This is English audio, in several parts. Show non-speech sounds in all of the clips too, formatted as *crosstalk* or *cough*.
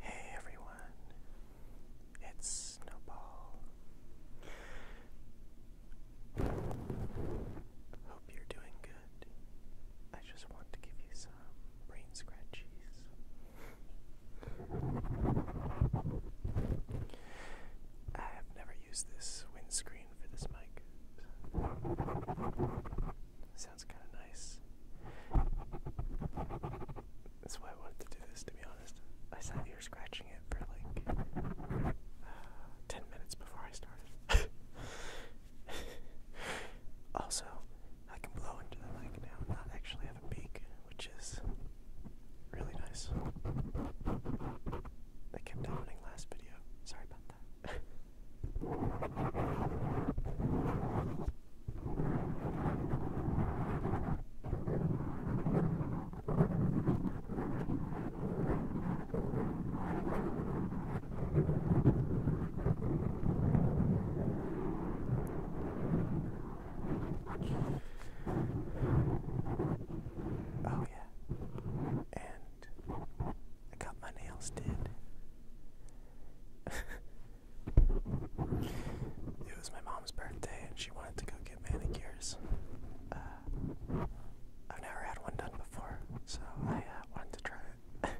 Hey everyone, it's Snowball. Hope you're doing good. I just want to give you some brain scratchies. I have never used this windscreen for this mic. Sounds kind of nice. That's why I wanted to do this, to be honest. I sat here scratching it for like 10 minutes before I started. *laughs* also, I can blow into the mic now and not actually have a beak, which is really nice. They kept happening last video. Sorry about that. *laughs* Oh, yeah. And I got my nails did it was my mom's birthday and she wanted to go get manicures. Uh, I've never had one done before, so I uh, wanted to try it.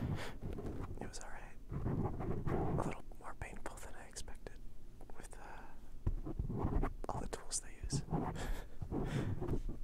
*laughs* it was alright. A little more painful than I expected with uh, all the tools they use. *laughs*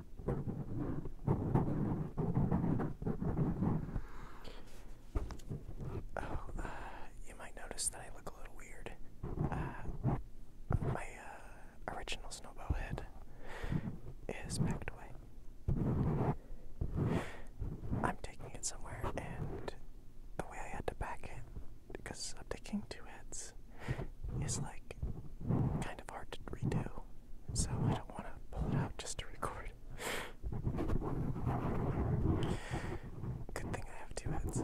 Oh, uh, you might notice that I look a little weird. Uh, my uh, original snowball head is packed away. I'm taking it somewhere, and the way I had to pack it, because I'm taking two heads, is like kind of hard to redo so I don't want to pull it out just to record. Good thing I have two heads.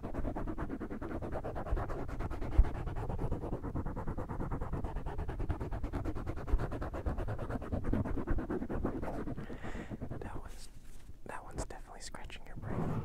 That one's that one's definitely scratching your brain.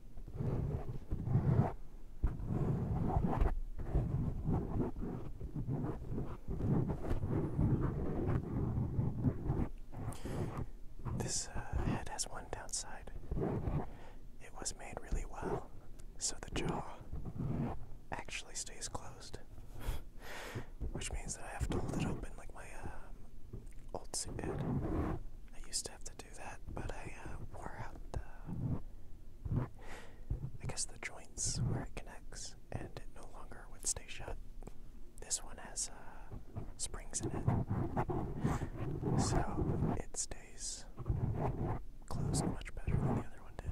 This uh, head has one downside. It was made really well, so the jaw actually stays closed, which means that I have to hold it open like my um, old suit did. I used to have to do that, but I uh, wore out the, I guess the joints where it connects, and it no longer would stay shut. This one has uh, springs in it, so it stays closed much better than the other one did.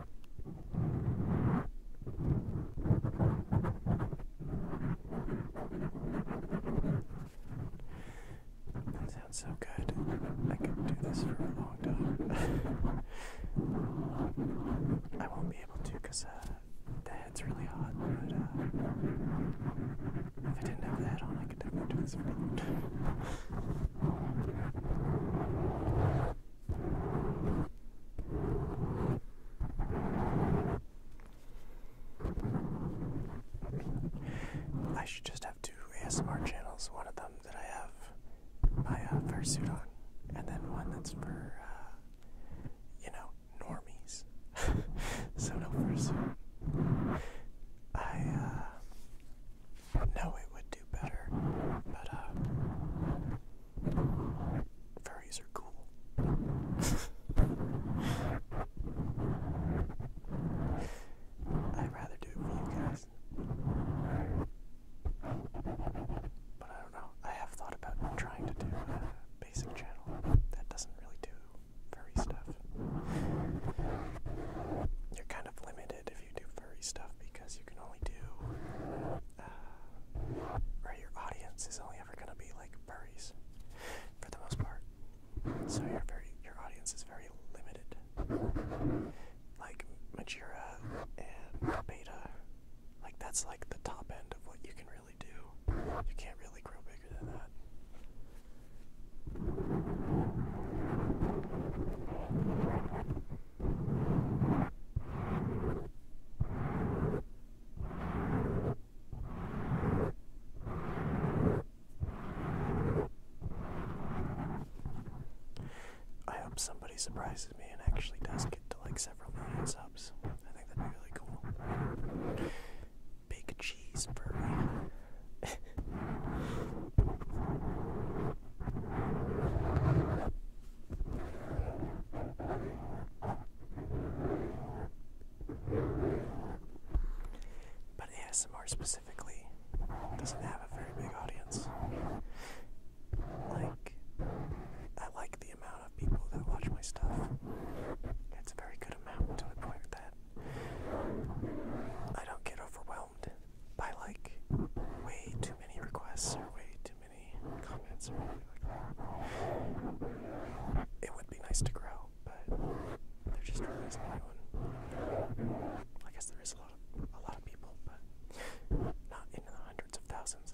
That sounds so good. I could do this for a long time. *laughs* I won't be able to because uh, the head's really hot, but uh, if I didn't have the head on, I could definitely do this for a long time. I should just have two ASMR channels, one of them that I have my uh, fursuit on, and then one that's for, uh, you know, normies. *laughs* so no fursuit. I, uh, know it would do better, but uh, furries are cool. I'd rather do it for you guys. But I don't know. I have thought about trying to do a basic channel that doesn't really do furry stuff. You're kind of limited if you do furry stuff because you can only do, uh, your audience is only ever gonna be like furries for the most part. So your your audience is very limited. Like Majira and Beta, like that's like the top end of what you can really do. You can't really grow bigger than that. I hope somebody surprises me and actually does get to like several million subs. I think that'd be really cool. Big cheese but ASMR specifically doesn't have a very big audience. Like, I like the amount of people that watch my stuff. It's a very good amount to the point that I don't get overwhelmed by like way too many requests or way too many comments It would be nice to grow, but there just really isn't anyone. I guess there is a lot of a lot of people, but not in the hundreds of thousands.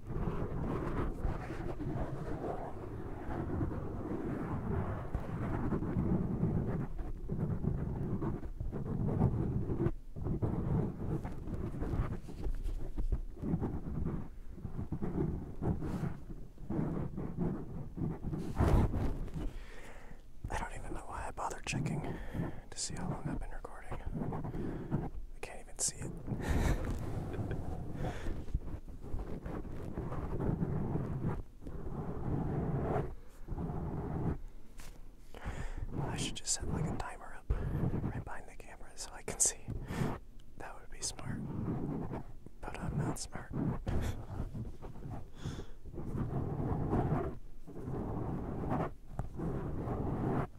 I don't even know why I bothered checking to see how long I've been recording. I can't even see it. I should just set like a timer up right behind the camera so I can see. That would be smart. But I'm not smart.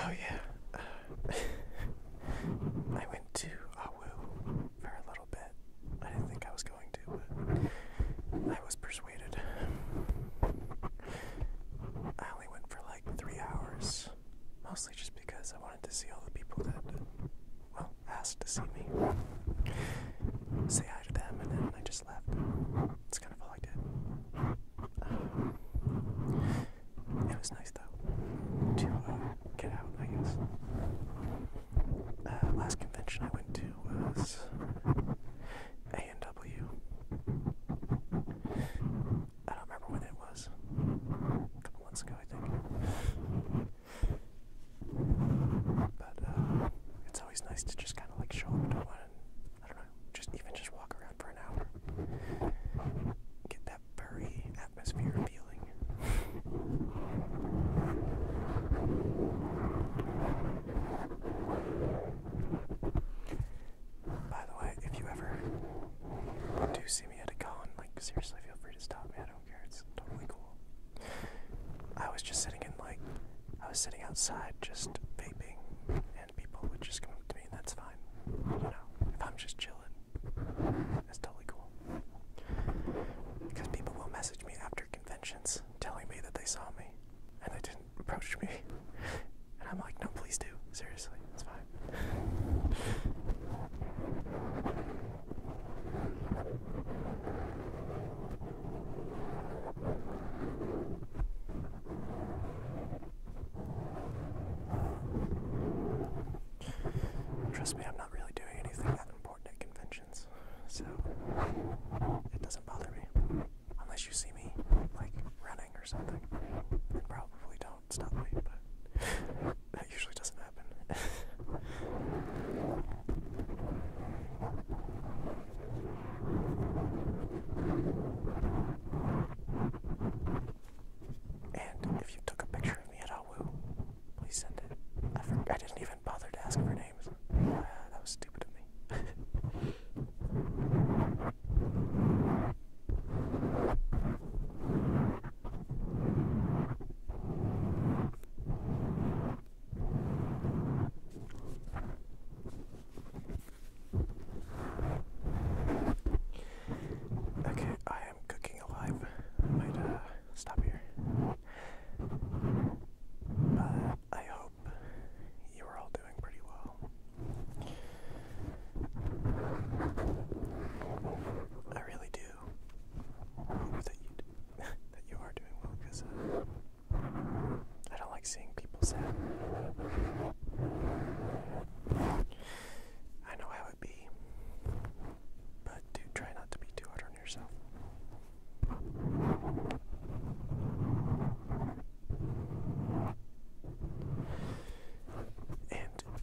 Oh, yeah. *laughs* I went to Awu for a little bit. I didn't think I was going to, but I was persuaded. I only went for like three hours mostly just because I wanted to see all the people that, well, asked to see me, say hi to them, and then I just left. That's kind of all I did. Um, it was nice though to uh, get out, I guess. Uh, last convention I went to was A and W. I don't remember when it was. A couple months ago, I think. But uh, it's always nice to just kind of like show up to one. I don't know, just even just walk around for an hour. Get that furry atmosphere feeling. By the way, if you ever do see I was just sitting in like I was sitting outside just vaping, and people would just come up to me, and that's fine. You know, if I'm just chilling, that's totally cool. Because people will message me after conventions, telling me that they saw me, and they didn't approach me, *laughs* and I'm like, no, please do. Seriously, it's fine. Trust me, I'm not really doing anything that important at conventions, so it doesn't bother me. Unless you see me, like, running or something, it probably does don't me, but that usually doesn't happen. and if you took a picture of me at Awu, please send it. I, didn't even bother to ask for names. Ah, that was stupid of me. *laughs* Okay, I am cooking alive. I might uh, stop here. But I hope you are all doing pretty well. I really do that you do, *laughs* that you are doing well because uh, I don't like seeing people sad. I know how it be, but do try not to be too hard on yourself.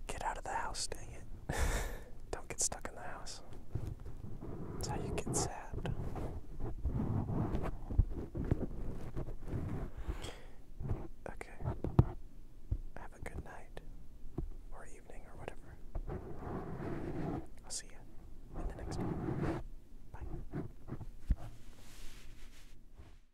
Get out of the house, dang it. *laughs* Don't get stuck in the house. That's how you get sad. Okay. Have a good night. Or evening, or whatever. I'll see you in the next one. Bye.